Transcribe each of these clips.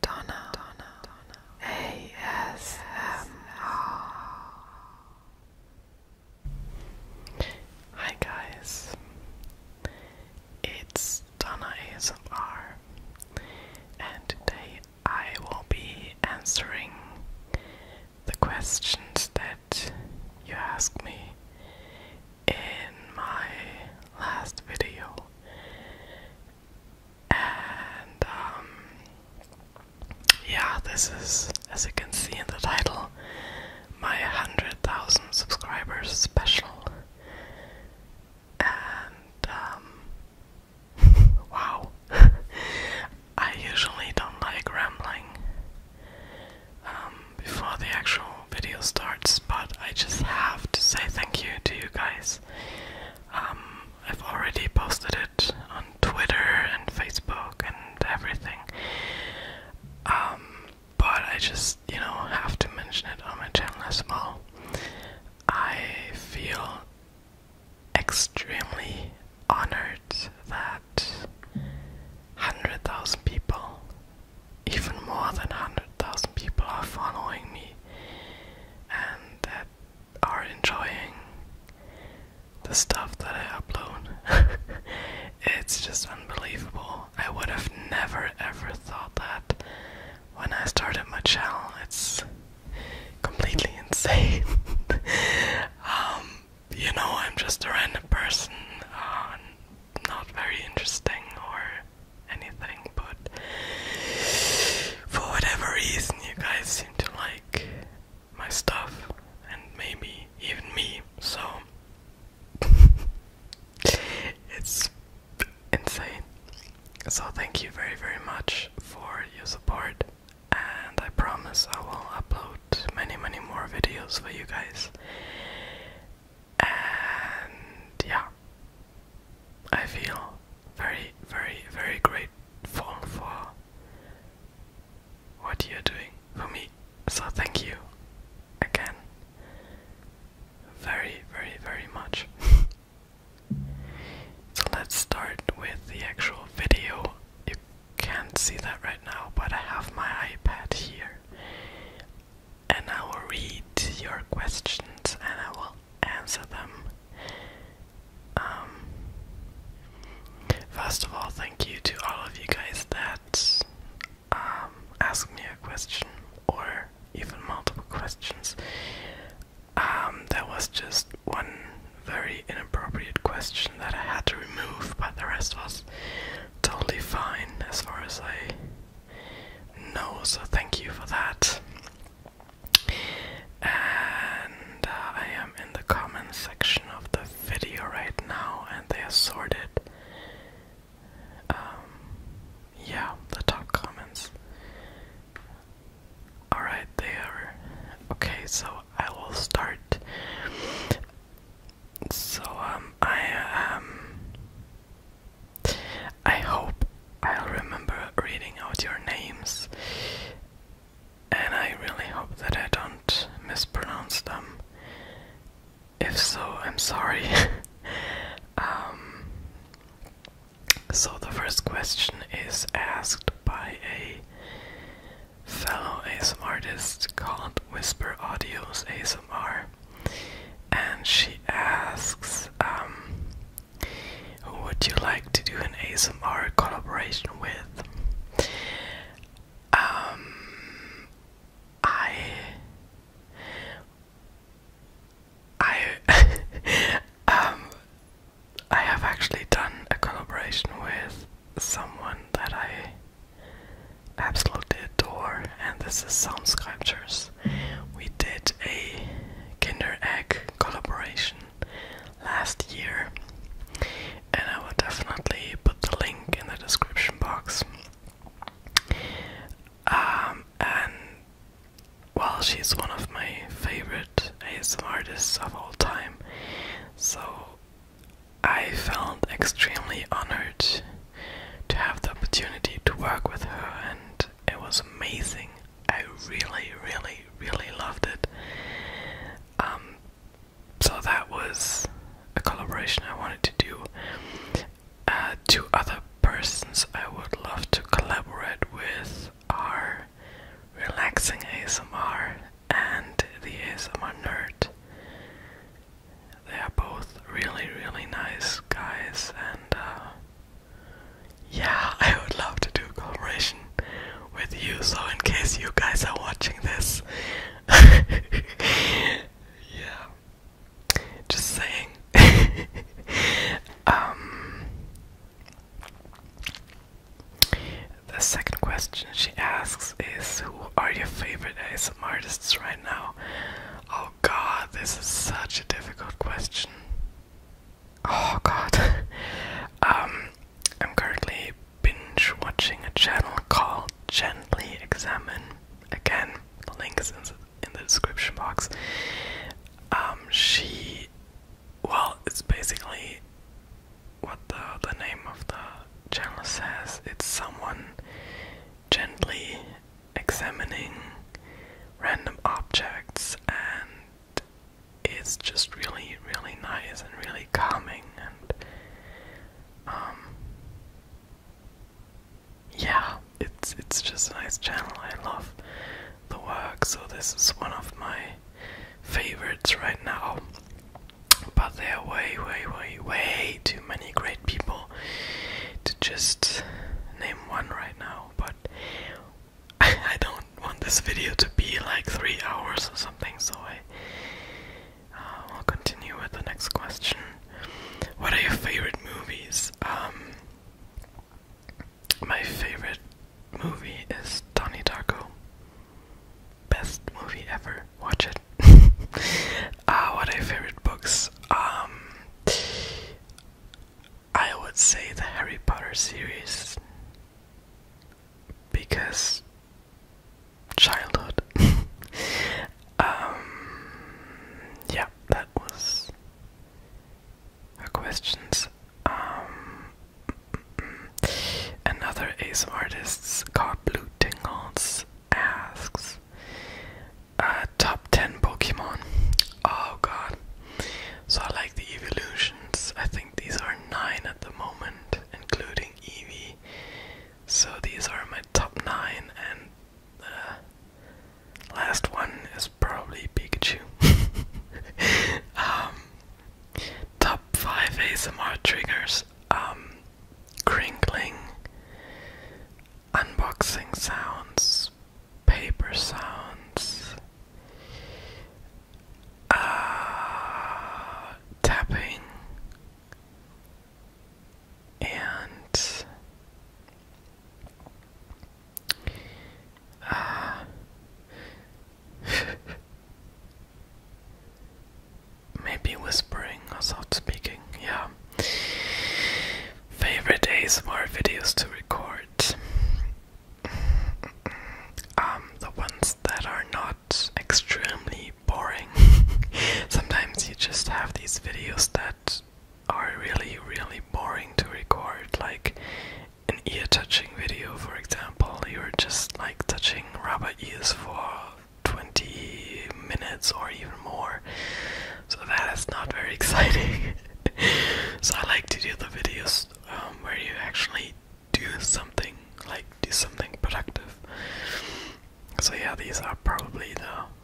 Donna, Donna, Donna, ASMR. Hi guys, it's Donna ASMR, and today I will be answering the questions that you asked me in my last video. And um, yeah, this is as you can see in the title, my 100,000 subscribers special. And um, wow. I usually don't like rambling um, before the actual video starts, but I just have to say thank you to you guys um, I've already posted it on Twitter and Facebook and everything. Um, but I just, you know, have to mention it on my channel as well. I feel extremely honored that 100,000 people, even more than 100,000 people, are following me and that are enjoying the stuff that I upload. it's just unbelievable. I would have never ever thought that when I started my channel. It's completely insane. um, you know, I'm just a random person, uh, not very interesting or anything, but for whatever reason, you guys seem to like my stuff, and maybe even me, so it's insane. So, thank you very, very much for your support, and I promise I will upload many, many more videos for you guys. And yeah, I feel very, very, very grateful for what you're doing for me. So thank you again very, very, very much. so let's start with the actual video. You can't see that right now, but I have my iPad here. And I will read your questions and I will answer them. Um, first of all, thank you to all of you guys that um, me a question or even multiple questions. Um, there was just one very inappropriate question that I had to remove, but the rest was totally fine as far as I know, so thank you for that. And uh, I am in the comment section of the video right now, and they are sorted. Um, yeah, the top comments. Alright, they are. Okay, so I will start. So, um, I am. Um, I hope I'll remember reading out your names, and I really hope that I don't mispronounce them. If so, I'm sorry. Um, so, the first question is asked by a fellow ASMR artist called Whisper Audios ASMR, and she asks um, who would you like to do an ASMR collaboration with? Um, I, I, um, I have actually done a collaboration with someone that I absolutely adore, and this is Sound Sculptures we did a Kinder Egg collaboration last year, and I will definitely put the link in the description box. Um, and well, she's one of my favorite ASM artists of all time, so I felt extremely honored to have the opportunity to work with her, and it was amazing I really, really, really loved it. Um, so that was a collaboration I wanted to do. Uh, two other persons I would love to collaborate with are Relaxing ASMR and the ASMR Nerd. They are both really, really nice guys, and uh, yeah, I would love to do collaboration with you. So in case you guys are watching this, yeah, just saying. um, the second question she asks is, who are your favorite ASM artists right now? Oh God, this is such a difficult question. Oh god. Um, I'm currently binge watching a channel called Gently Examine. Again, the link is in the description box. Um, she. Well, it's basically what the, the name of the channel says. It's someone gently examining random objects and it's just really really nice and really calming and um yeah it's it's just a nice channel I love the work so this is one of my favorites right now but there are way way way way too many great people to just name one right now but I don't want this video to be like three hours or something, so I will uh, continue with the next question. What are your favorite movies? Um, my favorite movie is Donnie Darko. Best movie ever. Watch it. uh, what are your favorite books? Um, I would say the Harry Potter series because childhood. Um, yeah, that was her questions. Um, another ace artist's Car Blue Tingles, asks uh, top 10 Pokemon. Oh god. So I like the evolutions. I think these are 9 at the moment, including Eevee. So these are my top 9, and the last one is probably Pikachu. Um, top 5 ASMR triggers. Um, crinkling, unboxing sounds, paper sounds, ah, tapping, and uh, maybe whispering or soft speaking, yeah. Favorite days ASMR videos to record? Um, the ones that are not extremely boring. Sometimes you just have these videos that are really, really boring to record, like an ear touching video, for example. You're just like touching rubber ears for 20 minutes or even more so that is not very exciting. so I like to do the videos um, where you actually do something, like do something productive. So yeah, these are probably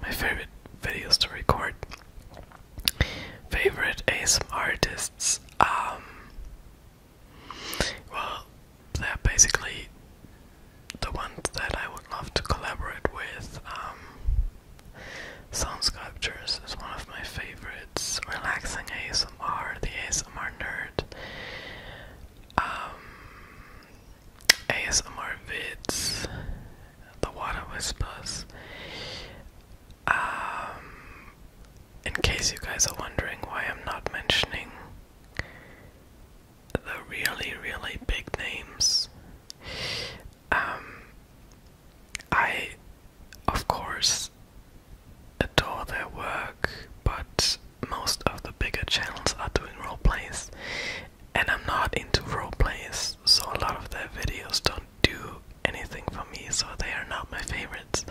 my favorite videos to record. Favorite ASM artists, um, well, they're basically the ones that I would love to collaborate with. Um, Sound Sculptures is one of my favorites. Relaxing ASMR, the ASMR nerd. Um, ASMR vids, the water whispers. Um, in case you guys are wondering why I'm not mentioning the really, really big names, um, I of course, adore their work, but most of the bigger channels are doing role plays, and I'm not into role plays, so a lot of their videos don't do anything for me, so they are not my favorites.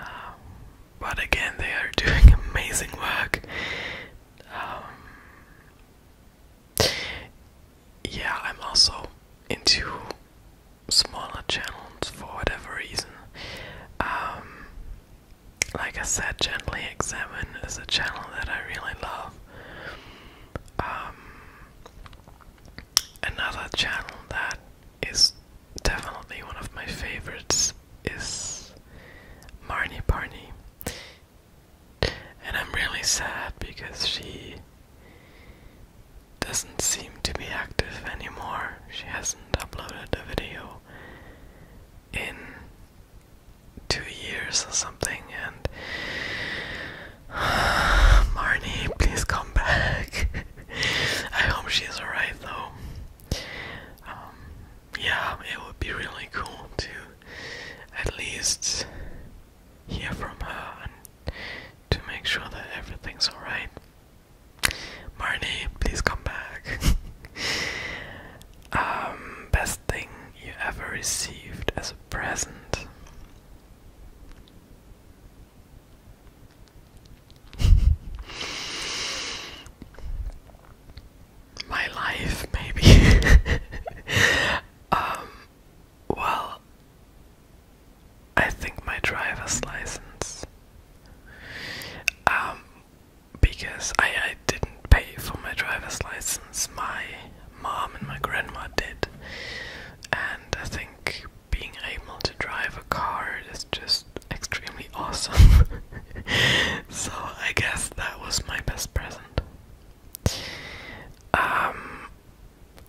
Um, but again, they are doing amazing work. Um, yeah, I'm also into smaller channels for whatever reason. Um, like I said, Gently Examine is a channel that I really love. Um, another channel that is definitely one of my favorites is Marnie Parney. And I'm really sad because she doesn't seem to be active anymore. She hasn't uploaded a video in two years or something and Marnie, please come back. I hope she's alright though. Um, yeah, it would be really cool to at least hear from her to make sure that everything's alright. Marnie, please come back. Um, best thing you ever received as a present. My life, maybe. Um, well, I think my driver's license. Um, because I, I didn't pay for my driver's license, my mom and my grandma did. And I think being able to drive a car is just extremely awesome. so I guess that was my best present. Um,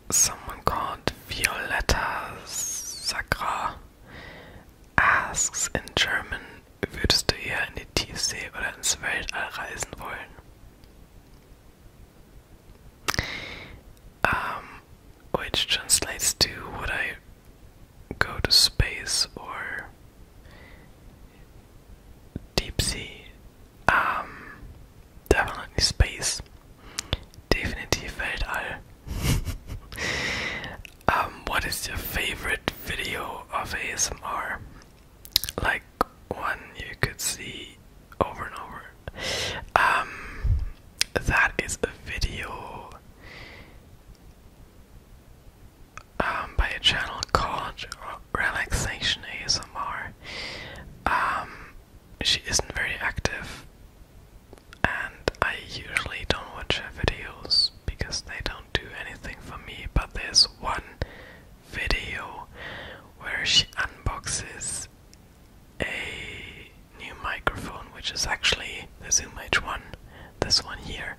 someone called Violetta Sacra asks in German, würdest du eher in die Tiefsee oder ins Weltall reisen wollen? Um, which translates to would I go to space or deep sea? Um, Definitely space. Definitely Feldall. um, what is your favorite video of ASMR? Like one you could see over and over. Um, that is a video um, by a channel called Relaxation ASMR. Um, she isn't very active, and I usually don't watch her videos because they don't do anything for me. But there's one video where she unboxes a new microphone, which is actually the Zoom H1, this one here,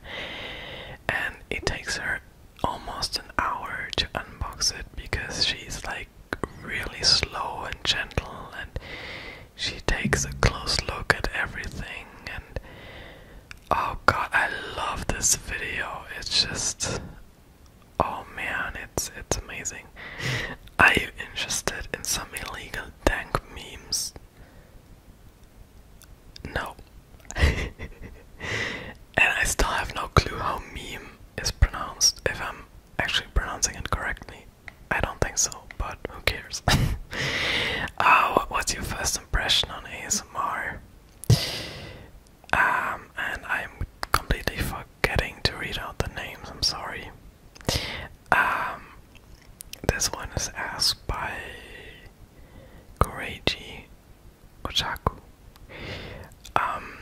and it takes her almost an hour to unbox it because she's like really slow and gentle, and she takes a close look at everything. And oh god, I love this video. It's just oh man, it's it's amazing. Are you interested in some illegal dank memes? No. And I still have no clue how meme is pronounced, if I'm actually pronouncing it correctly. I don't think so, but who cares? uh, what's your first impression on ASMR? Um, and I'm completely forgetting to read out the names, I'm sorry. Um, this one is asked by Koreji Ochaku. Um,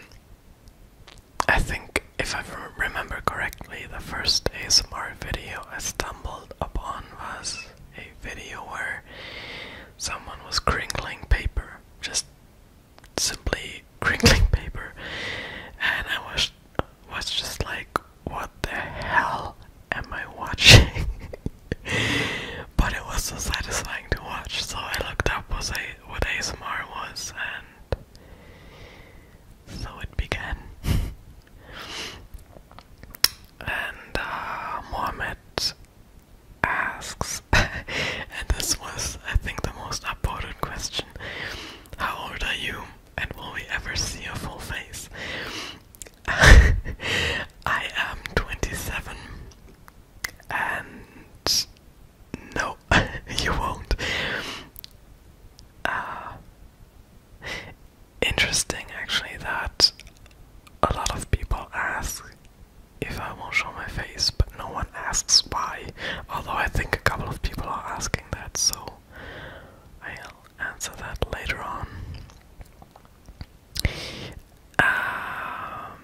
I think, if I remember correctly, the first ASMR video I stumbled upon was a video where someone was crinkling paper, just simply crinkling paper, and I was was just like, what the hell am I watching? but it was so satisfying to watch, so I looked up was a what ASMR was, and so it began. and uh, Mohammed asks, and this was, I think, the most upvoted question How old are you, and will we ever see a full face? I am 27, and no, you won't. Uh, interesting, actually, that a lot of people ask if I won't show my face, but no one asks why. Although I think a couple of people are asking that, so I'll answer that later on. Um,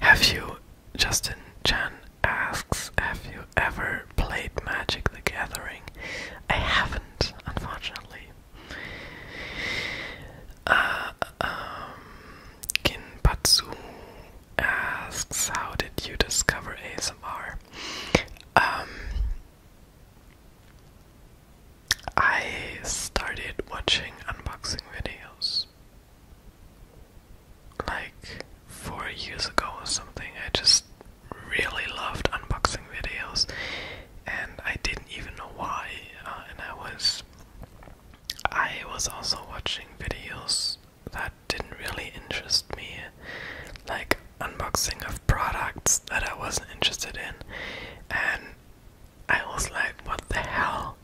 have you, Justin Chan asks, have you ever played Magic the Gathering? I haven't, unfortunately. Uh, um, Kinpatsu asks, how did you discover ASMR? Um, I started watching unboxing videos like four years ago or something. I just really loved unboxing videos, and I didn't even know why. Uh, and I was, I was also watching videos that didn't really interest me, like unboxing of products that I wasn't interested in, and I was like, what the hell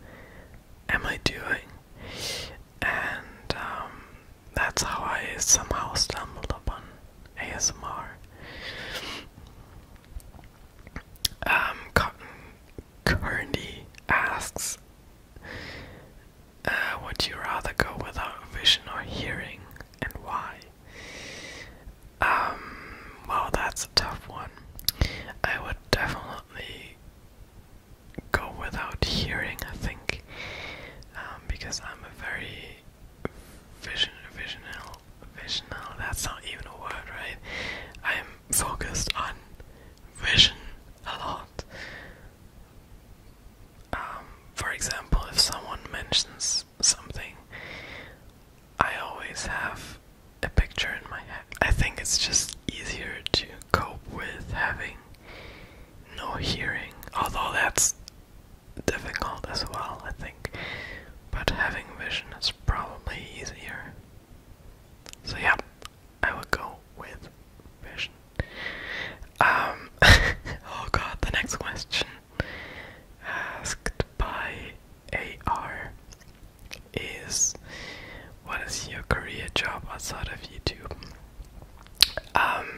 am I doing? And um, that's how I somehow stumbled upon ASMR. Um, Cotton Curdy asks, uh, would you rather go without vision or hearing, and why? Um, well, that's a tough one. I would definitely go without hearing, I think, um, because I'm a very vision, visional, visional. That's not even a word, right? I'm focused on vision a lot. Um, for example, if someone mentions something, I always have a picture in my head. I think it's just easier to cope with having no hearing, although that's difficult as well, I think. But having vision is probably easier. So, yeah, I would go with vision. Um, oh god, the next question asked by AR is what is your career job outside of YouTube? Um,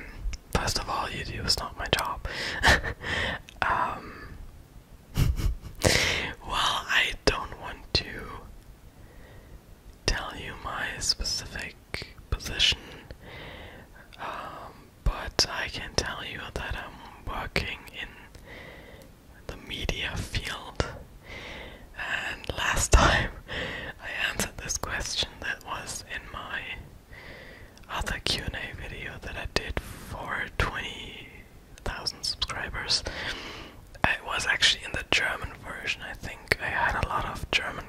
first of all, YouTube is not my job. Um, well, I don't want to tell you my specific position, um, but I can tell you that I'm working in the media field. And last time I answered this question that was in my other Q&A video that I did for 20,000 subscribers. I was actually in the German version, I think. I had a lot of German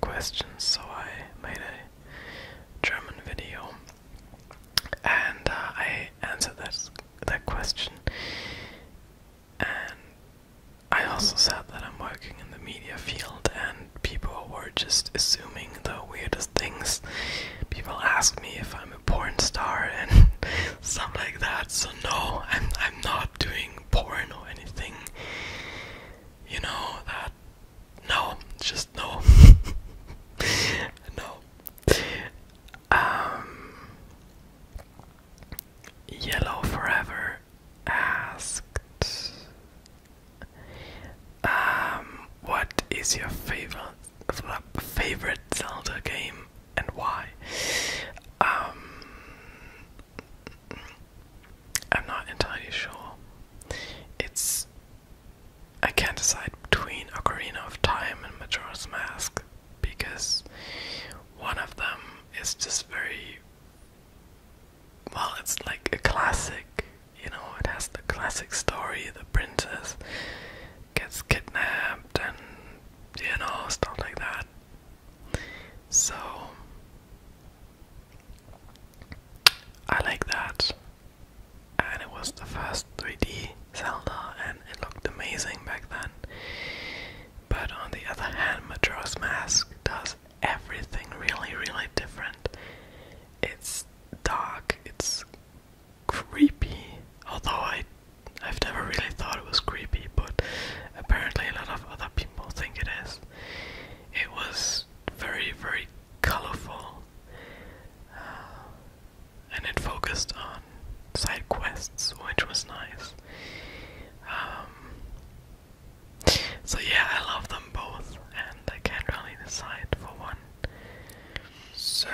questions, so I made a German video. And uh, I answered this that question. And I also said that I'm working in the media field, and people were just assuming the weirdest things. People ask me if I'm a porn star and stuff like that. So no, I'm not doing porn or anything. You know that? No, just no, no. Um, Yellow Forever asked, um, "What is your favorite favorite Zelda game and why?" Um, I'm not entirely sure. It's I can't decide between Ocarina of Time and Majora's Mask because one of them is just very well, it's like a classic, you know, it has the classic story the princess gets kidnapped and you know, stuff like that. So I like that. And it was the first 3D Zelda and it looked amazing back then. But on the other hand, Majora's does everything really, really different. It's dark, it's creepy, although I, I've never really thought it was creepy, but apparently a lot of other people think it is. It was very, very colorful. Uh, and it focused on side quests, which was nice. Um, so yeah, I love them both, and I can't really decide for one. So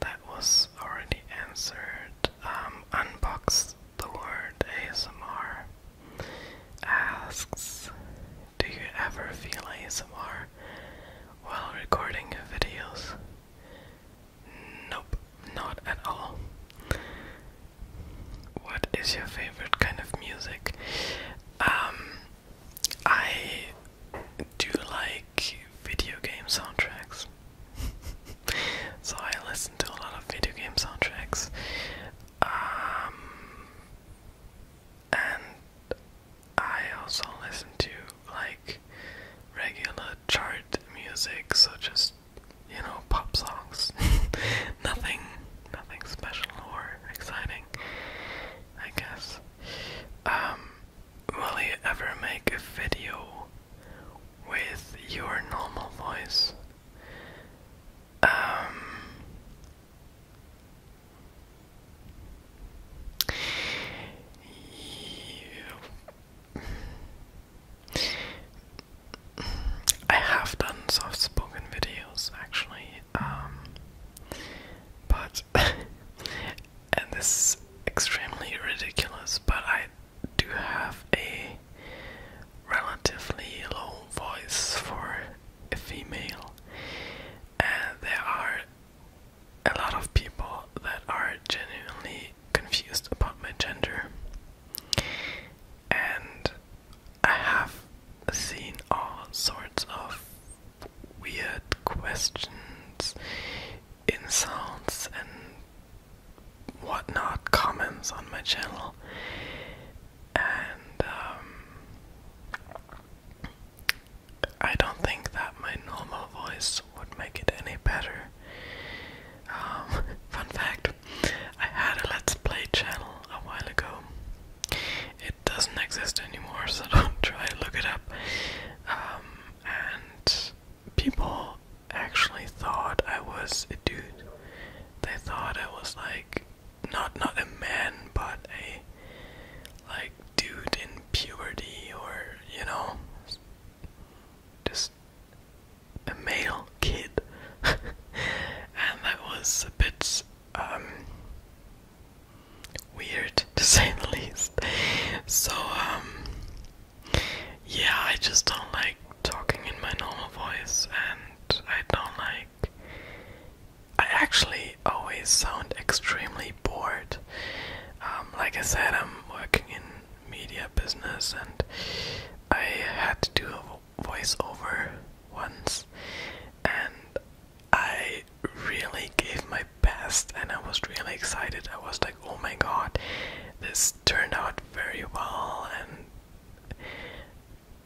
that was already answered. Um, unbox the word ASMR asks, Do you ever feel ASMR while recording your videos? Nope, not at all. What is your favorite kind of music? Um, I do like video game soundtracks. so I listen to a lot of video game soundtracks. Um, and I also listen to like regular chart music, so just you know pop songs, nothing, nothing special or exciting, I guess. Um, will you ever make a video with your normal voice? Um, I have done soft spoken videos actually, um, but and this is extremely ridiculous, but I do have a relatively low voice for a female, and there are a lot of people that are genuinely confused about my gender. And I have seen all sorts of weird questions, insults, and whatnot comments on my channel, and um, I don't think that my normal voice would make it any better. Um, fun fact I had a Let's Play channel a while ago. It doesn't exist anymore, so don't try to look it up. Um, and people actually thought I was a dude they thought I was like not not a man but a like dude in puberty or you know just a male kid and that was a bit um, weird to say the least so um, yeah I just don't like talking in my normal voice and and I don't like. I actually always sound extremely bored. Um, like I said, I'm working in media business and I had to do a voiceover once and I really gave my best and I was really excited. I was like, oh my god, this turned out very well and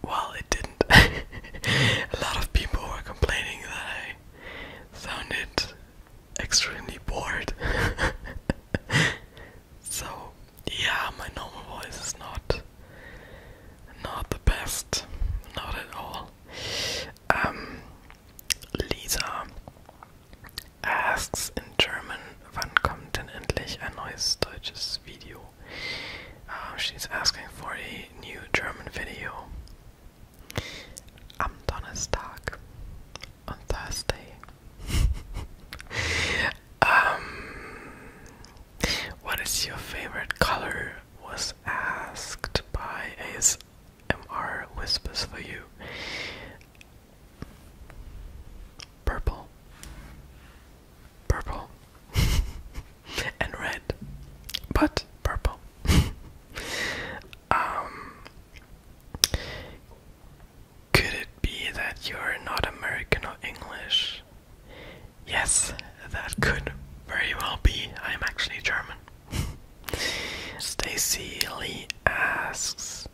well, it didn't. a lot of people were complaining that I sounded extremely bored. so, yeah, my normal voice is not not the best, not at all. Um, Lisa asks in German wann kommt denn endlich ein neues deutsches Video? Ah, she's asking for a new German video. On Thursday. Um, what is your favorite color? Was asked by ASMR Whispers for You. Purple purple and red, but purple. um, could it be that you're not American or English? Yes, that could very well be. I am actually German. Stacy Lee asks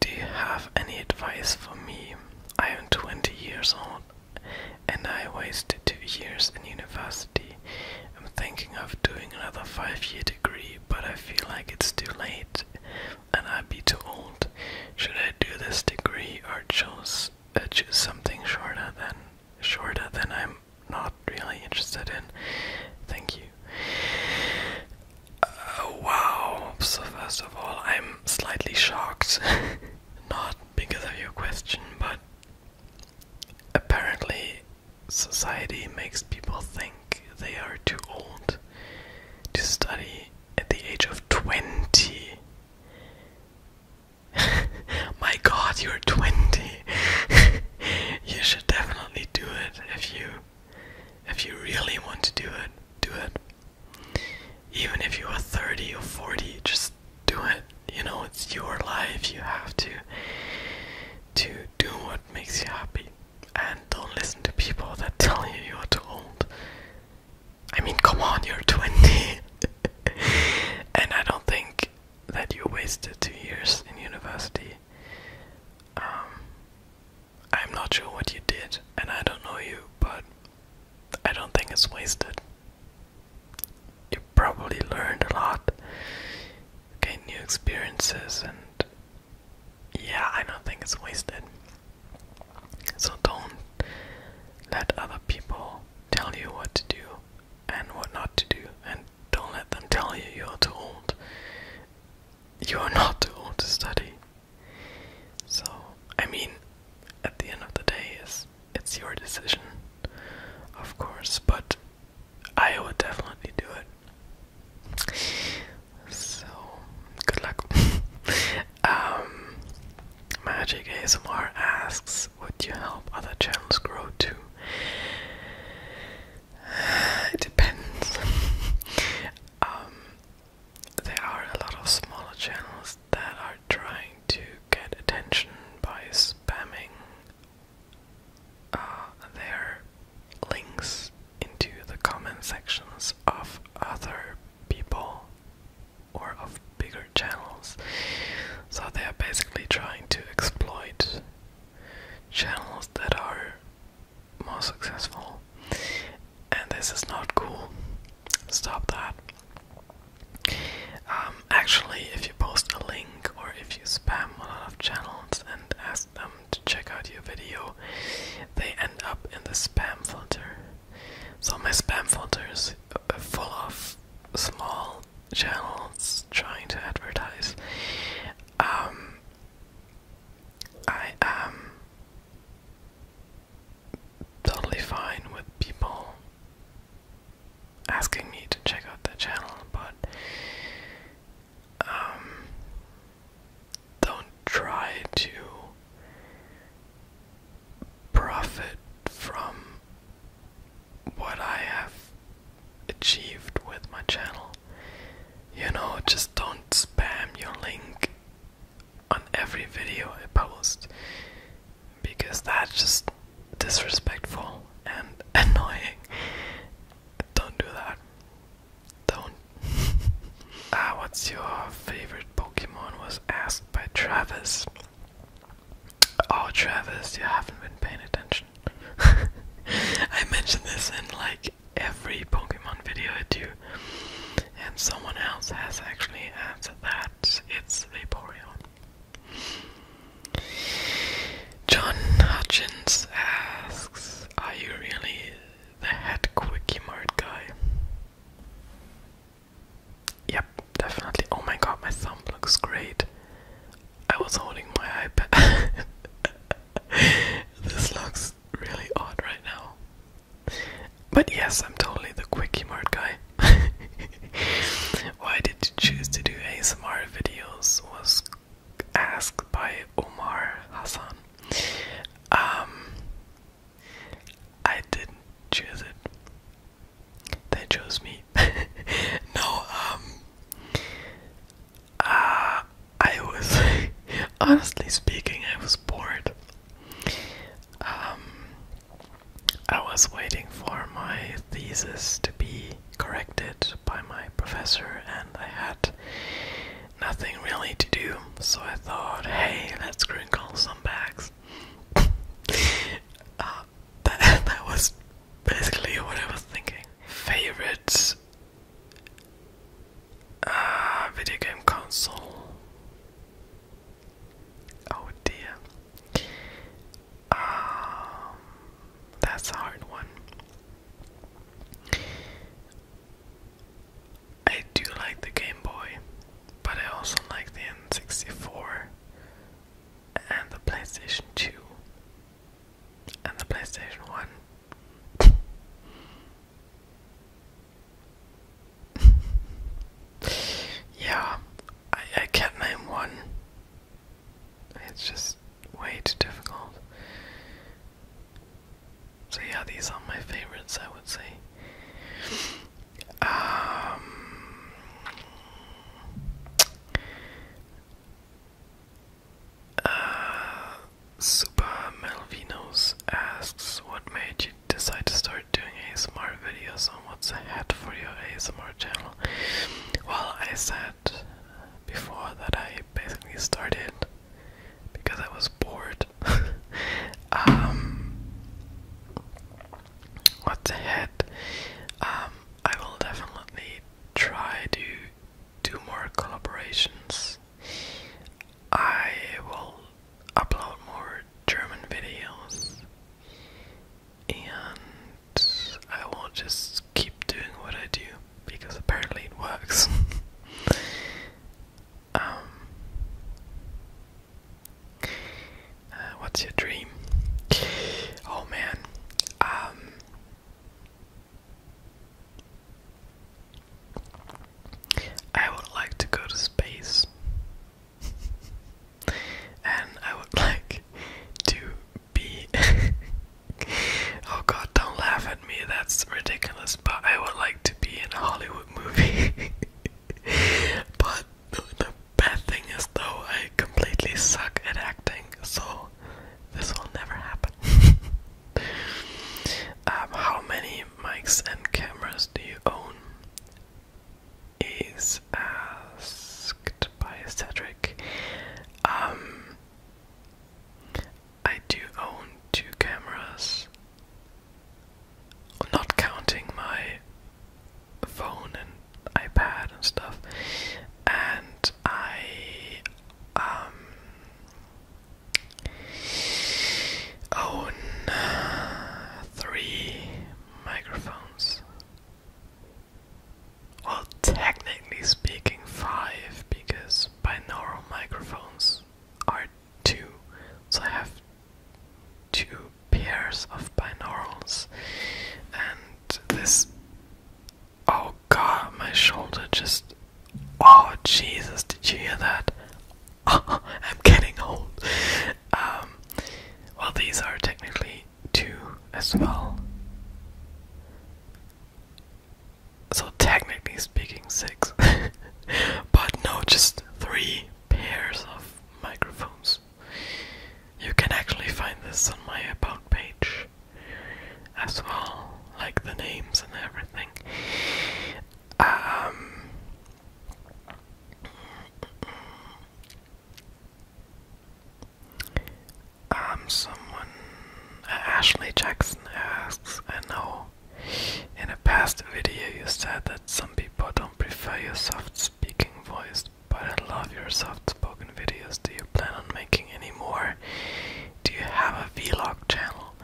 do you have any advice for me? I am 20 years old and I wasted two years in university. I'm thinking of doing another five year degree, but I feel like it's too late and I'd be too old. Should I do this degree or choose, uh, something shorter than shorter than I'm not really interested in? Thank you wow, so first of all, I'm slightly shocked. Not because of your question, but apparently, society makes people think they are too old to study at the age of 20. My god, you're 20. you should definitely do it if you if you really want to do it do it. Even if you are 30 or 40, just do it. You know, it's your life. You have to to do what makes you happy. And don't listen to people that tell you you are too old. I mean, come on, you're 20. and I don't think that you wasted two years in university. Um, I'm not sure what you did, and I don't know you, but I don't think it's wasted. You probably learned a lot, gained new experiences, and yeah, I don't think it's wasted. So don't let other people tell you what to do and what not to do, and don't let them tell you you're too old. You are not too old to study. So, I mean, at the end of the day, it's, it's your decision, of course, but I would definitely do it. So, good luck. Um, Magic ASMR asks, would you help other channels grow too? It depends. Um, there are a lot of smaller channels that are trying to get attention by spamming uh, their links into the comment sections of other people or of bigger channels. So they are basically trying to exploit channels that are more successful and this is not cool. Stop that. Um, actually, if you post a link or if you spam a lot of channels and ask them to check out your video, they end up in the spam filter. So my spam filter is full of small channels trying to advertise. Um, I am totally fine with people asking me to check out the channel, but um, don't try to profit from what I have achieved with my channel. You know, just don't spam your link on every video I post because that's just disrespectful and annoying. Don't do that. Don't. ah, what's your favorite Pokemon? Was asked by Travis. Oh, Travis, you haven't been paying attention. I mention this in like every Pokemon video I do and someone else has actually answered that it's Vaporeon. John Hutchins asks, Are you really the head quickie mart guy? Yep, definitely. Oh my god, my thumb looks great. I was holding my iPad. this looks really odd right now. But yes, I'm totally the quickie mart guy. Why did you choose to do ASMR videos? Was asked by Omar Hassan. Um, I didn't choose it. They chose me. no, um, uh, I was honestly speaking, I was bored um, I was waiting for my thesis to be corrected by my professor, and I had nothing really to do, so I thought, hey, let's crinkle some bags. Uh, that, that was basically what I was thinking. Favorite uh, video game console? Oh dear. Um, that's a hard one. I do like the Game Boy, but I also like the N64 and the PlayStation 2 and the PlayStation 1. yeah, I, I can't name one. It's just way too difficult. So yeah, these are my favorites, I would say. Um, uh, Super Malvinos asks, "What made you decide to start doing ASMR videos on what's ahead for your ASMR channel? Well, I said before that I basically started because I was bored. Um, what's ahead? Um, I will definitely try to do more collaborations. I will upload more German videos and I will just keep doing what I do because apparently it works. um, uh, what's your dream? Oh man, um, I would like to go to space. and I would like to be. oh god, don't laugh at me, that's ridiculous. But I would like to be in a Hollywood movie. but the bad thing is, though, I completely suck at acting, so this will never happen. Um, how many mics and cameras do you own? is asked by Cedric. Um, I do own two cameras, not counting my phone and iPad and stuff, and I um own uh, three microphones. Well, technically speaking, five, because binaural microphones are two, so I have two pairs of binaurals, and this. Oh god, my shoulder just. Oh Jesus, did you hear that? I'm getting old. Um, well, these are technically two as well. So, technically speaking, six. but no, just three pairs of microphones. You can actually find this on my About page as well, like the names and everything. Um, um, uh, Ashley Jackson asks, I know in a past video you said that some people don't prefer your soft speaking voice, but I love your soft spoken videos. Do you plan on making any more? Do you have a vlog channel? all.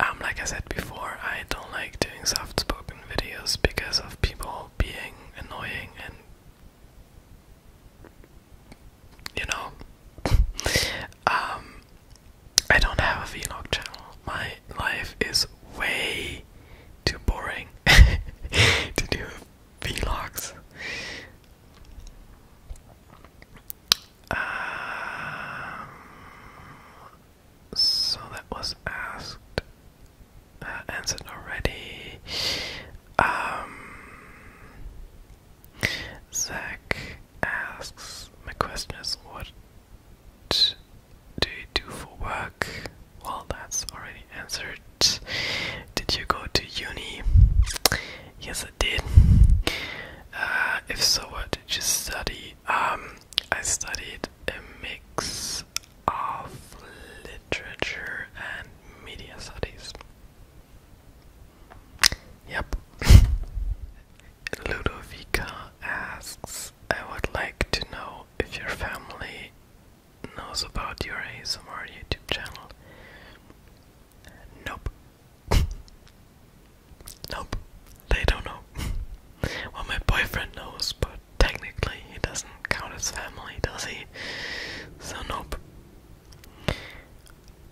Um, like I said before, I don't like doing soft spoken videos because of people being annoying and you know. Um, I don't have a vlog channel. My life is way too boring to do vlogs. Um, so that was asked, uh, answered already. Um, Zach asks, my question is, what do you do for work? Well, that's already answered. Did you go to uni? Yes, I did. Uh, if so, what did you study? Um, I studied a mix of literature and media studies. Yep. Ludovica asks, I would like to know if your family knows about your ASMR YouTube channel. Nope. Nope, they don't know. well, my boyfriend knows, but technically he doesn't count as family, does he? So, nope.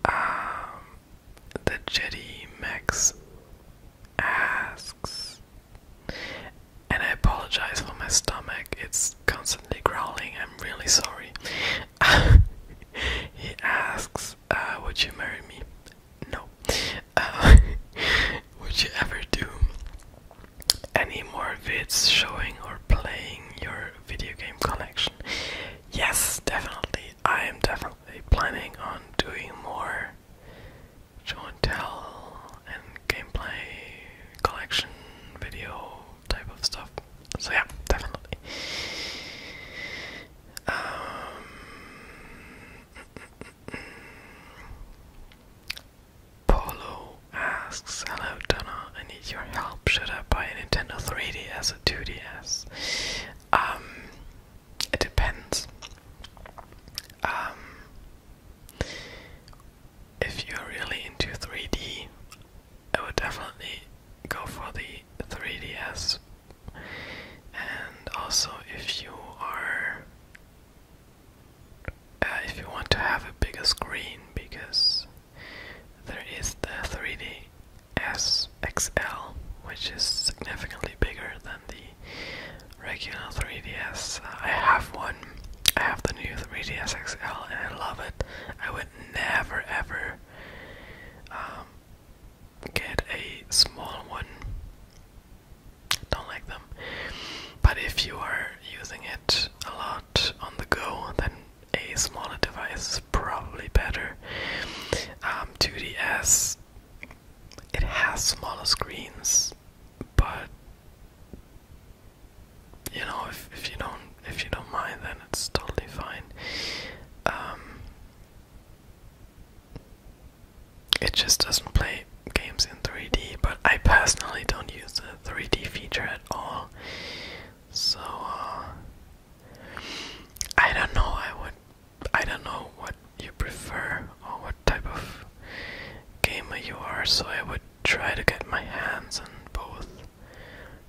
Um, the Jetty Max asks, and I apologize for my stomach, it's constantly growling, I'm really sorry. he asks, uh, would you marry me? No. Uh, would you ever do any more vids showing or playing your video game collection? Yes, definitely. I am definitely planning on doing more show and tell and gameplay collection video type of stuff. So yeah, definitely. Um, Polo asks, Hello Donna, I need your help. Should I buy a Nintendo 3DS or 2DS? Um, it depends. Um, if you're really into 3D, I would definitely go for the 3DS and also, if you are, uh, if you want to have a bigger screen, because there is the 3DS XL, which is significantly bigger than the regular 3DS. Uh, I have one. I have the new 3DS XL, and I love it. I would never ever. Um, get a small one. Don't like them. But if you are using it a lot on the go, then a smaller device is probably better. Um, 2DS, it has smaller screens, but you know, if, if you don't if you don't mind, then it's totally fine. Um, it just doesn't play games in 3D, but I personally don't use the 3D feature at all. So uh, I don't know. I would. I don't know what you prefer or what type of gamer you are. So I would try to get my hands on both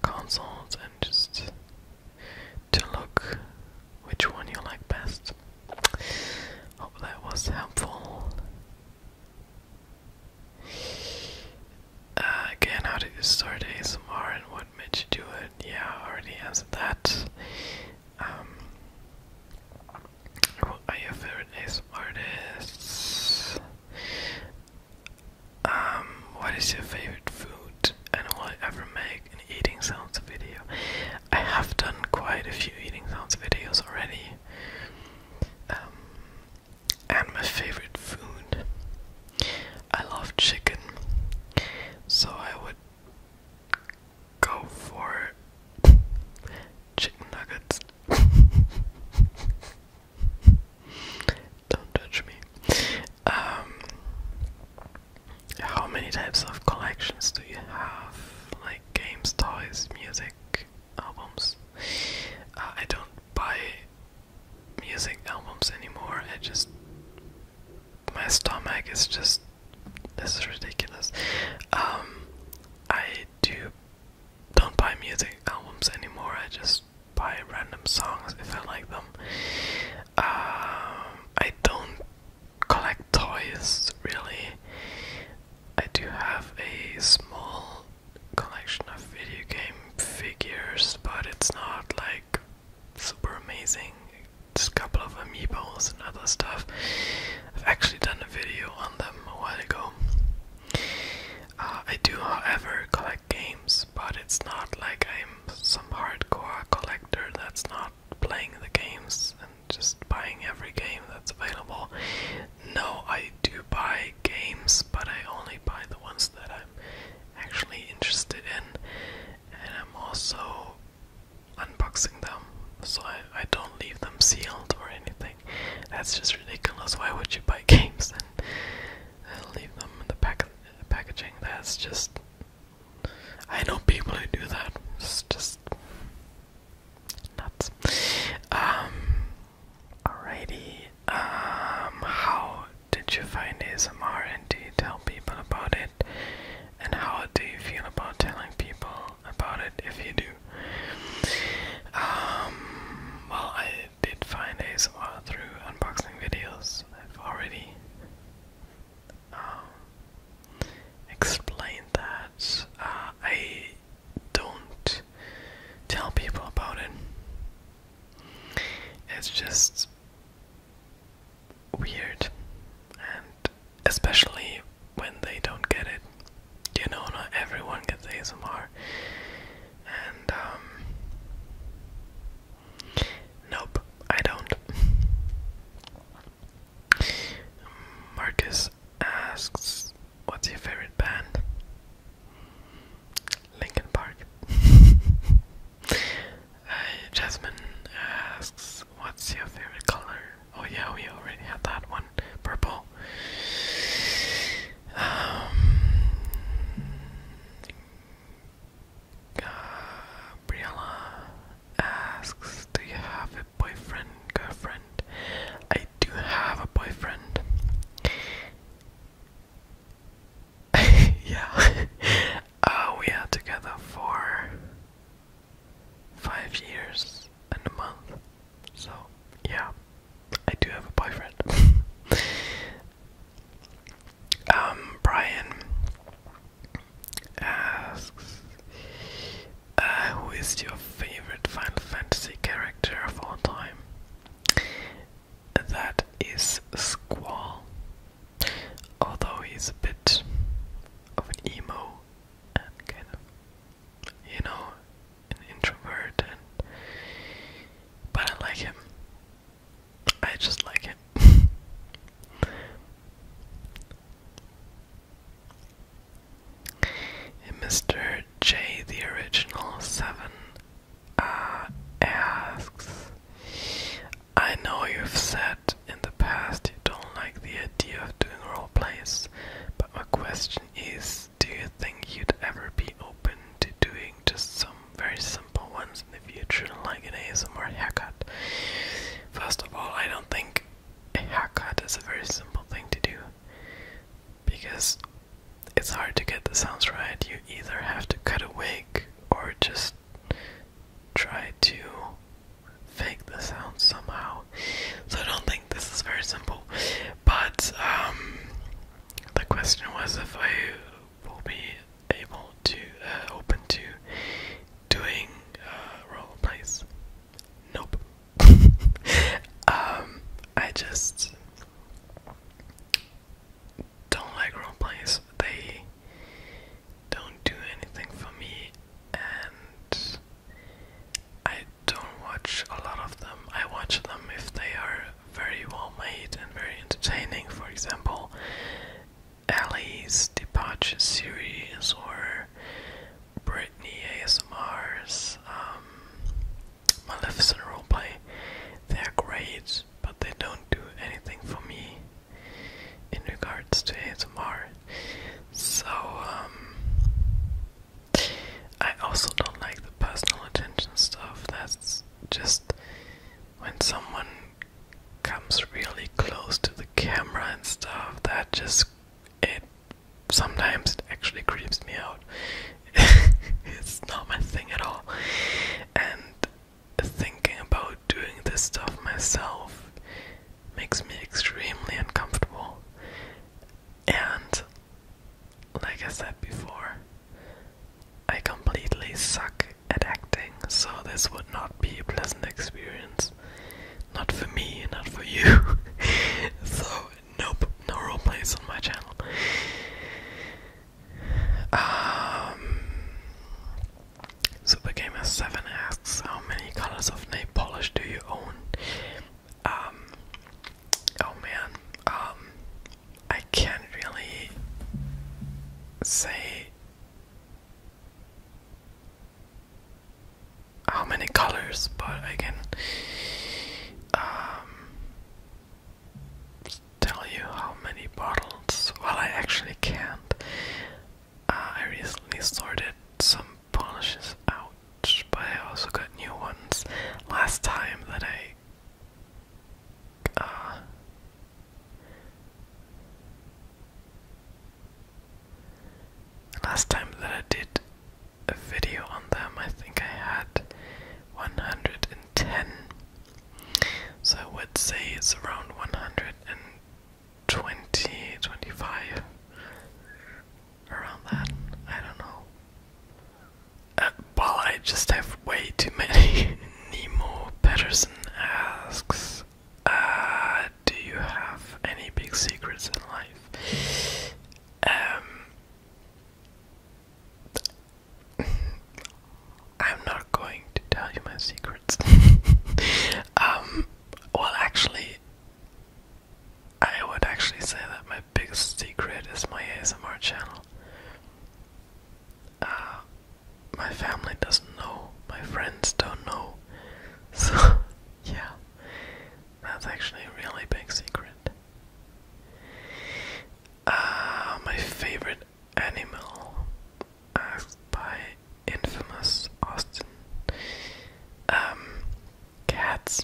consoles and just to look which one you like best. Hope that was helpful. Uh, again, how did you start ASMR and what made you do it? Yeah, I already answered that. Um, are your favorite ASMR artists? Um, what is your favorite food? And will I ever make an eating sounds video? I have done quite a few eating sounds videos already. Um, and my favorite food. I love chicken, so I would go for chicken nuggets. Don't touch me. Um, how many types of collections do you have? Like games, toys, music, albums? Uh, I don't buy music albums anymore. I just. My stomach is just. This is ridiculous. Um, I do. Don't buy music albums anymore. I just buy random songs if I like them. Um, I don't collect toys really. I do have a small collection of video game figures, but it's not like super amazing. Just a couple of amiibos and other stuff. I've actually done a video on them a while ago. Uh, I do, however, collect games, but it's not like I'm some hardcore collector that's not playing the games just buying every game that's available. No, I do buy games, but I only buy the ones that I'm actually interested in, and I'm also unboxing them, so I, I don't leave them sealed or anything. That's just ridiculous. Why would you buy games and, and leave them in the pack packaging? That's just I know people who do that. It's just nuts. Um, alrighty. Um, how did you find ASMR and do you tell people about it? And how do you feel about telling people about it if you do? Um, well, I did find ASMR through unboxing videos. I've already um, explain that uh, I don't tell people about it. It's just weird, and especially when they don't get it. You know, not everyone gets ASMR, and um, nope, I don't. Marcus asks, "What's your favorite band?" Lincoln Park. Uh, Jasmine asks, "What's your favorite color?" Oh yeah, we already had that one. Purple. Um, uh, asks, "Do you have boyfriend, girlfriend. I do have a boyfriend. yeah. uh, we are together for five years and a month. So, yeah. I do have a boyfriend. um, Brian asks, uh, who is your favorite Final Fantasy character of all time? That is Squall, although he's a bit of an emo you know, an introvert, and but I like him. I just like him. Mr. J, the original seven, uh, asks, I know you've said in the past you don't like the idea of doing role plays, but my question is, do you think you'd ever be open to doing just some very simple ones in the future, like an ASMR haircut? First of all, I don't think a haircut is a very simple thing to do because it's hard to get the sounds right. You either have to cut a wig or just try to fake the sounds somehow. So I don't think this is very simple. But um, the question was if I will be able to uh, open to doing uh, role plays. Nope. Um, I just don't like role plays. They don't do anything for me, and I don't watch a lot of them. I watch them if they are very well made and very entertaining, for example, Ali's Departure series or Brittany ASMR's um, Maleficent roleplay. They're great, but they don't do anything for me in regards to ASMR. So, um, I also don't like the personal attention stuff. That's just when someone comes really close to the camera and stuff that just it sometimes it actually creeps me out it's not my thing at all and thinking about doing this stuff myself makes me extremely uncomfortable and like i said before i completely suck at acting so this would not be a pleasant experience not for me, not for you. so, nope, no roleplays on my channel. Um, Supergamer7 asks, how many colors of nail polish do you own? Um, oh man, um, I can't really say how many colors, but I can um, tell you how many bottles. Well, I actually can't. Uh, I recently sorted some polishes out, but I also got new ones last time that I. Uh, last time that I did a video on them, I think I had 110. So I would say it's around 120, 25. Around that. I don't know. Uh, well, I just have way too many. Nemo Patterson asks uh, do you have any big secrets in life? Um, I'm not going to tell you my secrets. Um, well, actually, I would actually say that my biggest secret is my ASMR channel. Uh, my family doesn't know, my friends don't know, so yeah, that's actually a really big secret. Uh, my favorite animal, uh, by infamous Austin. Um, cats,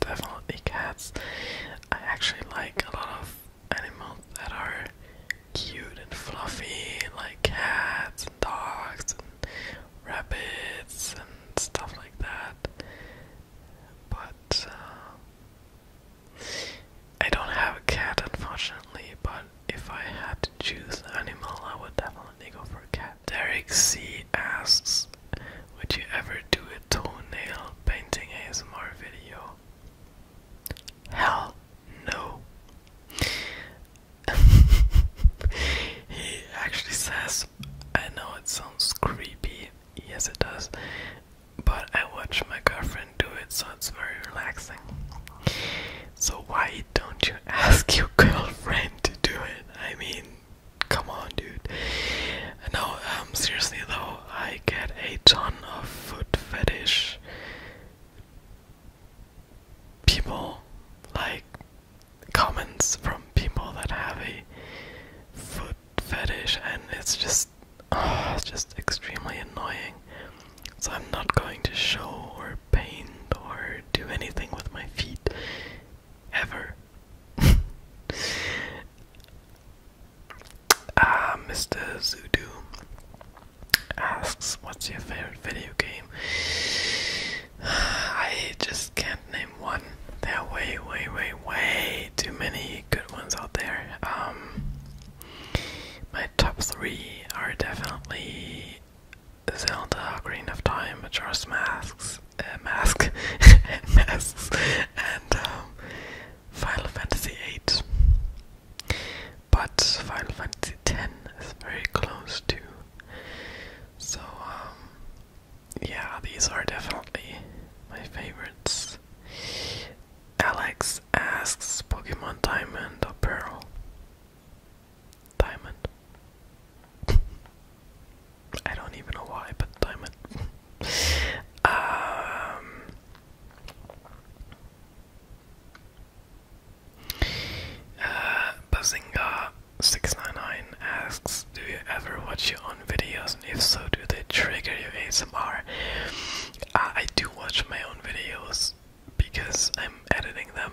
definitely cats. I actually like a lot of animals that are cute and fluffy, like cats and dogs rabbits and stuff like that. But uh, I don't have a cat, unfortunately. But if I had to choose an animal, I would definitely go for a cat. Derek C asks, "Would you ever do a toenail painting ASMR video?" Hell no he actually says, I know it sounds creepy, yes it does, but I watch my girlfriend do it, so it's very relaxing. So why don't you ask your girlfriend to do it? I mean, come on, dude. No, um, seriously though, I get a ton of foot fetish people like comments from people that have a foot fetish and it's just ah, it's just extremely annoying. So I'm not going to show or paint or do anything with my feet ever. Ah, Mr. Zudu asks, "What's your favorite video game?" I just can't name one. There are way, way, way, way too many good ones out there. Um, my top three are definitely Zelda, Green of Time, Majora's Masks, uh, Mask, Masks, and um, Final Fantasy VIII but Final Fantasy X is very close to. So, um, yeah, these are definitely my favorites. Alex asks Pokemon Diamond or Pearl? Diamond. I don't even know why, but diamond. Um, uh, Bazinga699 asks, do you ever watch your own videos, and if so, do they trigger your ASMR? Uh, I do watch my own videos because I'm editing them,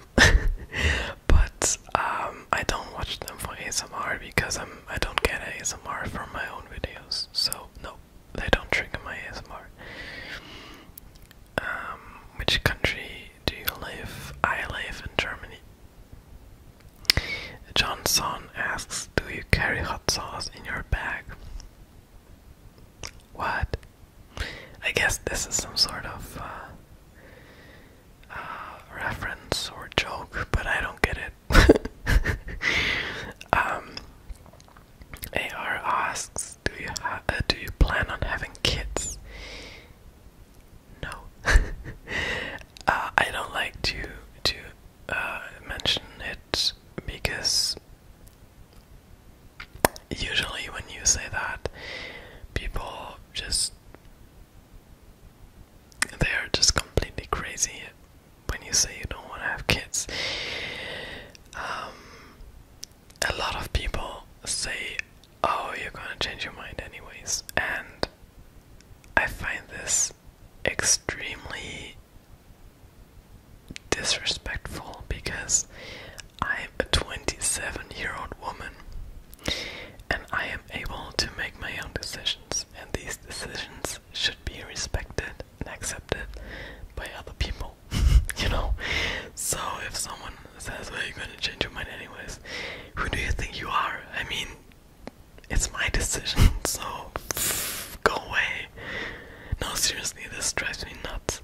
but um, I don't watch them for ASMR because I'm I don't get ASMR from my own videos, so no, they don't trigger my ASMR. Um, which country do you live? I live in Germany. Johnson asks, Do you carry hot sauce in your bag? What? I guess this is some sort of uh, uh, reference or joke, but I don't get it. AR um, asks, "Do you uh, do you plan on having kids?" No. Uh, I don't like to to uh, mention it because usually when you say that, people just they are just completely crazy when you say you don't want to have kids. Um, a lot of people say, Oh, you're gonna change your mind, anyways. And I find this extremely disrespectful because I'm a 27 year old woman and I am able to make my own decisions, and these decisions should be respected and accepted by other people, you know. So if someone that's why you're gonna change your mind anyways. Who do you think you are? I mean, it's my decision, so go away. No, seriously, this drives me nuts.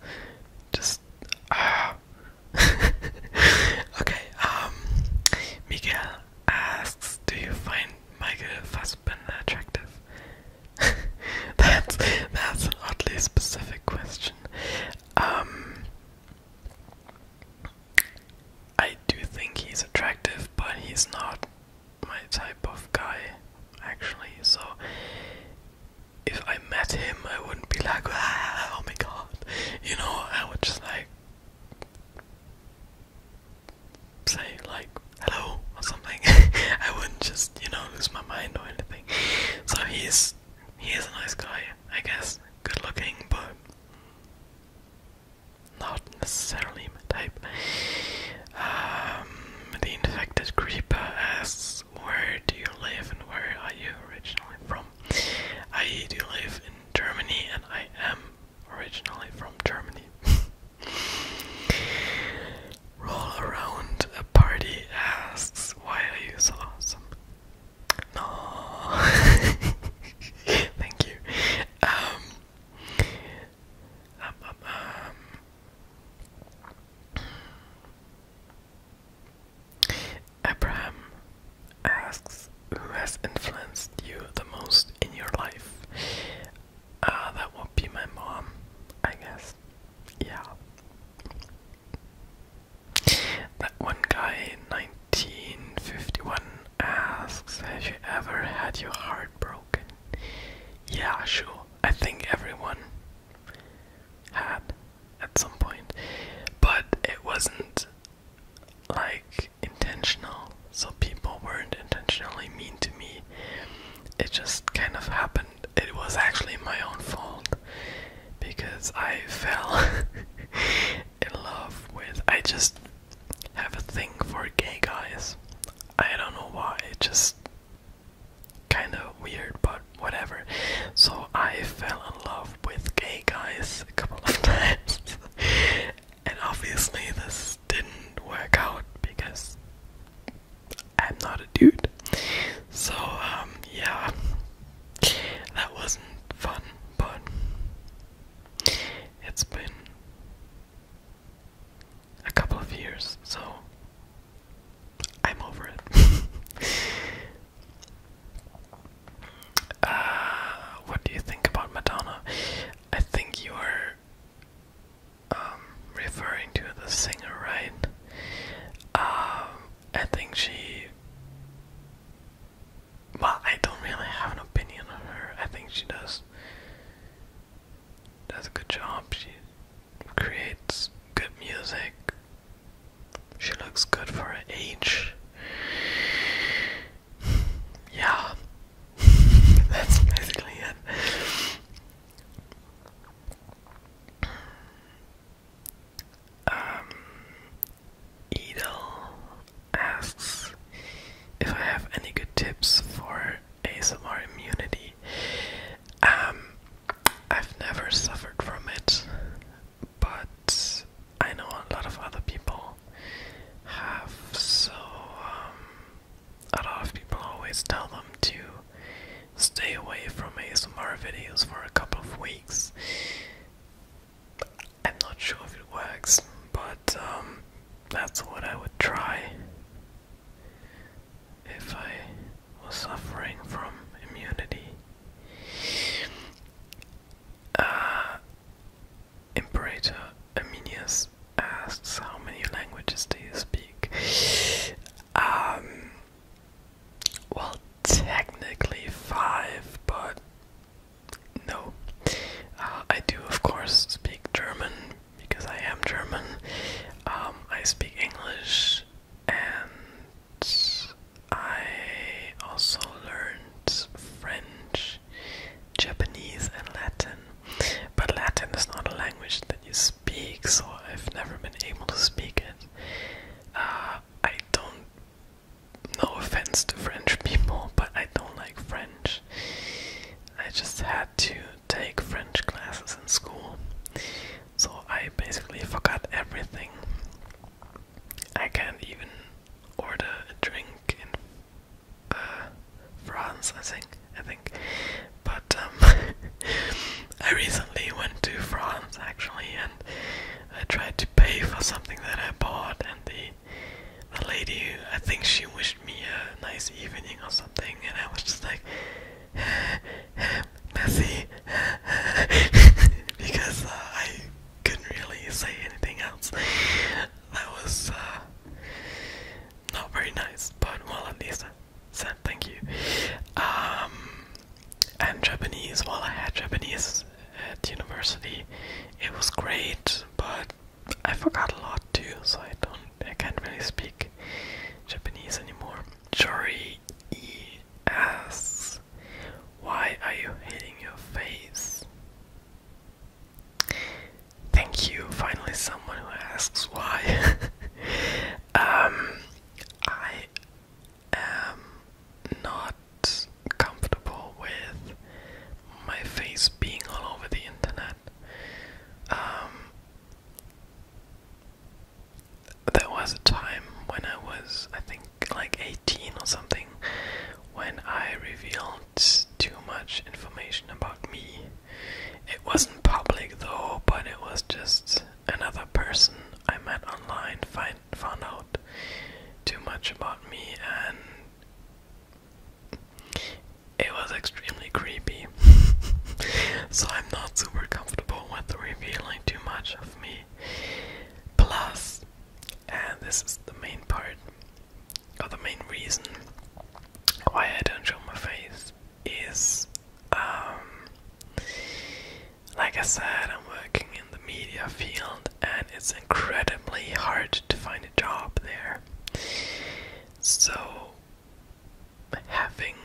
Just ah. okay. Um, Miguel asks, "Do you find Michael Fassbender attractive?" that's that's an oddly specific question. Um, I do think he's attractive, but he's not my type of guy, actually. So, if I met him, I wouldn't be like, oh my god. You know, I would just like say, like, hello or something. I wouldn't just, you know, lose my mind or anything. So, he's he is a nice guy, I guess. Good looking, but not necessarily my type. Um, the infected creeper asks, Where do you live and where are you originally from? I do live in Germany and I am originally from Germany. Roll around a party asks, Why are you so awesome? No. Thank you. Um, um, um, um, Abraham asks, "Who has influenced you the most in your life?" Uh, that would be my mom, I guess. Yeah. That one guy in 1951 asks, Have you ever had your heart broken? Yeah, sure. I think everyone had at some point. But it wasn't like intentional, so people weren't intentionally mean to me. It just kind of happened. It was actually my own fault because I fell in love with. I just have a thing for gay guys. I don't know why, it's just kind of weird, but whatever. So I fell in love with gay guys a couple of times, and obviously, this didn't work out because I'm not a dude. So, um, yeah, that wasn't fun, but it's been a couple of years, so I'm over it. Uh, what do you think about Madonna? I think you are um, referring to the singer, right? Um, I think she. Well, I don't really have an opinion on her. I think she does. Does a good job. She creates good music. She looks good for her age. yeah. That's basically it. Um, Edel asks if I have any good tips for ASMR immunity. Um, I've never suffered from it, but I know a lot of other people have, so um, a lot of people always tell them to stay away from ASMR videos for a couple of weeks I'm not sure if it works, but um, that's what I would try if I was suffering from immunity. Emperor uh, Imperator asks, How many languages do you speak? Um, well, technically five, but no. Uh, I do, of course, speak German because I am German. Um, I speak English and I also learned French, Japanese, and Latin. But Latin is not a language that you speak, so I've never been able to speak it. Uh, I don't. No offense to French people, but I don't like French. I just had to take French classes in school, so I basically forgot everything. I can't even order a drink in uh, France, I think. I think, but um, I recently went to France actually and I tried to pay for something that I bought and the the lady I think she wished me a nice evening or something and I was just like messy because uh, I couldn't really say anything else. That was uh, not very nice, but well at least I said thank you. Um, and Japanese. While I had Japanese at university, it was great, but I forgot a lot too, so I don't, I can't really speak Japanese anymore. Jory E "Why are you hitting your face?" Thank you. Finally, someone who asks why. um, I am not comfortable with my face being all over the internet. Um, there was a time when I was, I think, like 18 or something, when I revealed too much information about me. It wasn't public though, but it was just Another person I met online found out too much about me, and it was extremely creepy. so I'm not super comfortable with revealing too much of me. Plus, and this is the main part, or the main reason why I don't show my face, is um, like I said, I'm working in the media field and it's incredibly hard to find a job there. So, having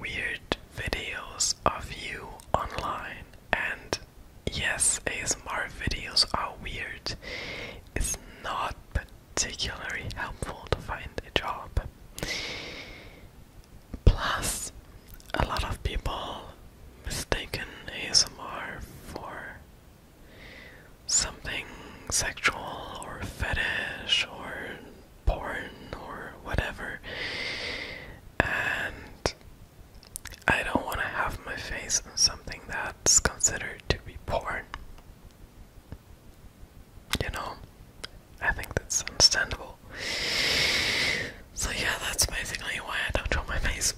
weird videos of you online, and yes, ASMR videos are weird, is not particularly helpful to find a job. Plus, a lot of people mistaken ASMR for something sexual or fetish or porn or whatever. And I don't want to have my face in something that's considered to be porn. You know, I think that's understandable. So yeah, that's basically why I don't draw my face.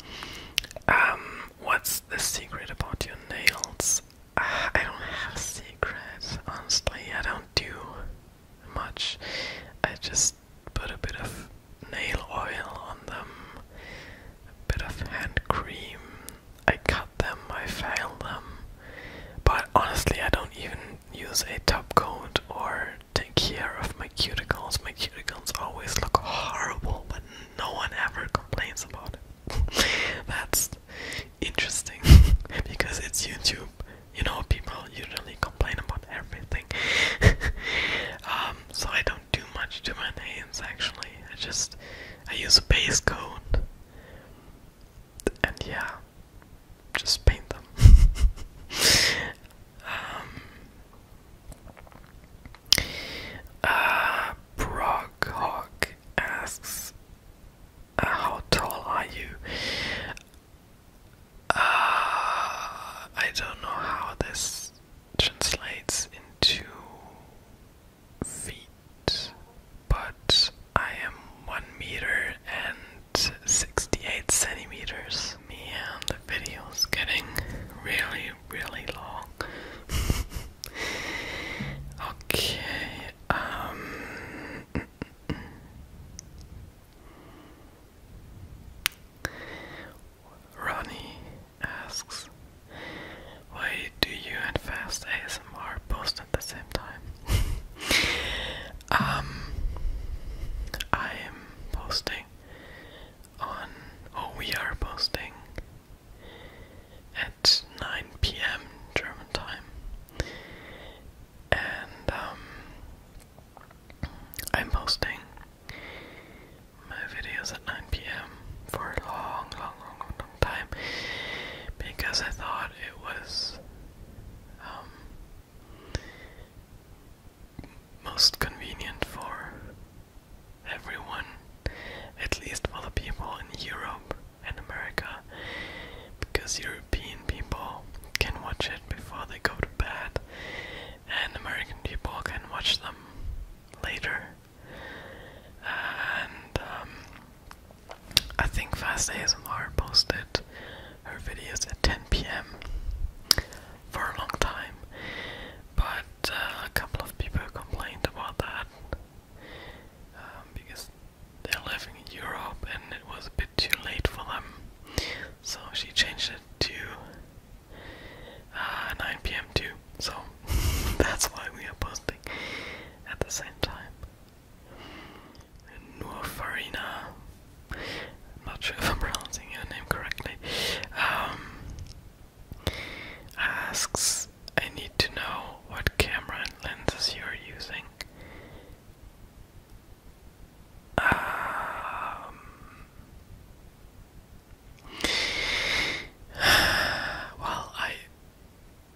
um, what's the secret about your nails? Ah, I don't have a secret, honestly. I don't do much. I just put a bit of nail oil on them, a bit of hand cream. I cut them, I file them. But honestly, I don't even use a top coat or take care of my cuticles. My cuticles always look horrible, but no one ever complains about it. That's interesting because it's YouTube. You know, people usually complain about everything. Um, so I don't do much to my nails actually. I just I use a base coat, and yeah, just paint them. um, uh, asks, uh, "How tall are you?" Uh, I don't know how this translates into feet, but I am one meter and 68 centimeters. Me and the video is getting really, really long. okay, um, Ronnie asks, why do you and Fast ASMR post at the same time? Um, I am posting on, oh, we are posting at 9 p.m. German time, and um, I'm posting my videos at 9 p.m. for a long, long, long, long, time because I thought it was um, most convenient for everyone, at least for the people in Europe and America, because European people can watch it before they go to bed, and American people can watch them later. And um, I think Fast ASMR posted her videos at 10 p.m. for a long time, but uh, a couple of people complained about that um, because they're living in Europe and it was a bit too late for them, so she changed it to uh, 9 p.m. too. So that's why we are posting at the same time. Nuafarina. i not sure if I'm pronouncing your name correctly. Um, asks, I need to know what camera and lenses you're using. Um, well, I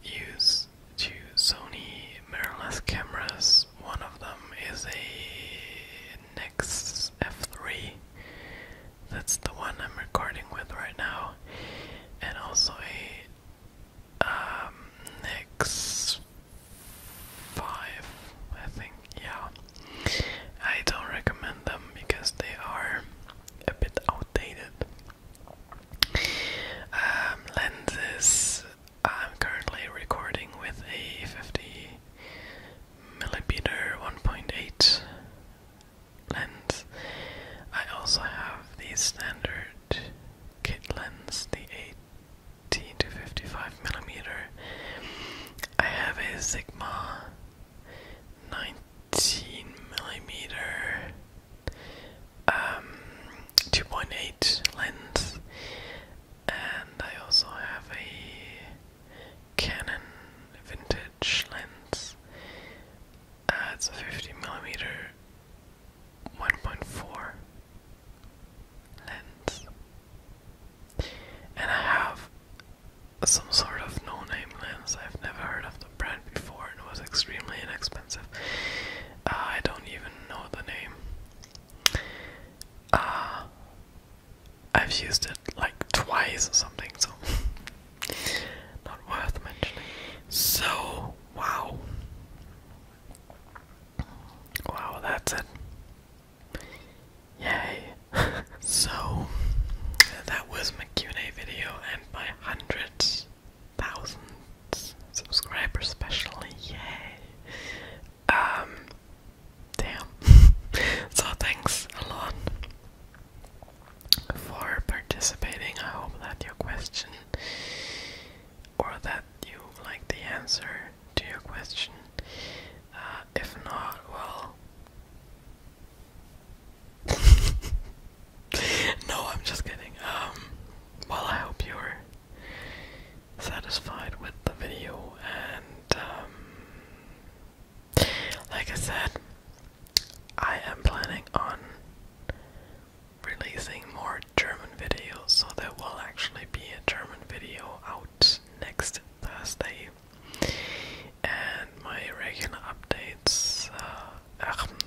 use two Sony mirrorless cameras one of them is a Nix F3. That's the one I'm recording with right now, and also a um, Nix Five, I think. Yeah, I don't recommend them because they are a bit outdated. Um, lenses I'm currently recording with a 50 millimeter 1.8 lens. I also have the standard kit lens, the 18 to 55 millimeter. I have a Sigma 19 millimeter um, 2.8 lens and I also have a Canon vintage lens. Uh, it's a 50 millimeter 1.4 lens. And I have some sort of no name lens. I've never heard of the brand before and it was extremely inexpensive. Uh, I don't even know the name. Uh, I've used it like twice or something, so not worth mentioning. So, wow. Wow, that's it. Yay. so, that was my Q&A video and my hundreds, thousands subscribers especially, yay. Um, damn. so thanks a lot for participating. I hope that your question or that you like the answer to your question. Uh, if not, well. no, I'm just kidding. Um, well, I hope you're satisfied with the video and um, like I said I am planning on releasing more German videos so there will actually be a German video out next Thursday and my regular updates uh,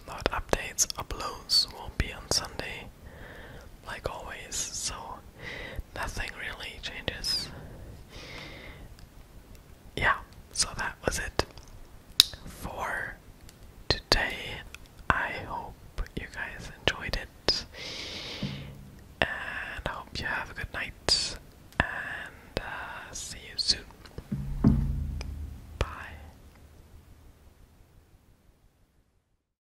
not updates uploads will be on Sunday like always so nothing really changes. Yeah, so that was it for today. I hope you guys enjoyed it. And hope you have a good night. And uh, see you soon. Bye.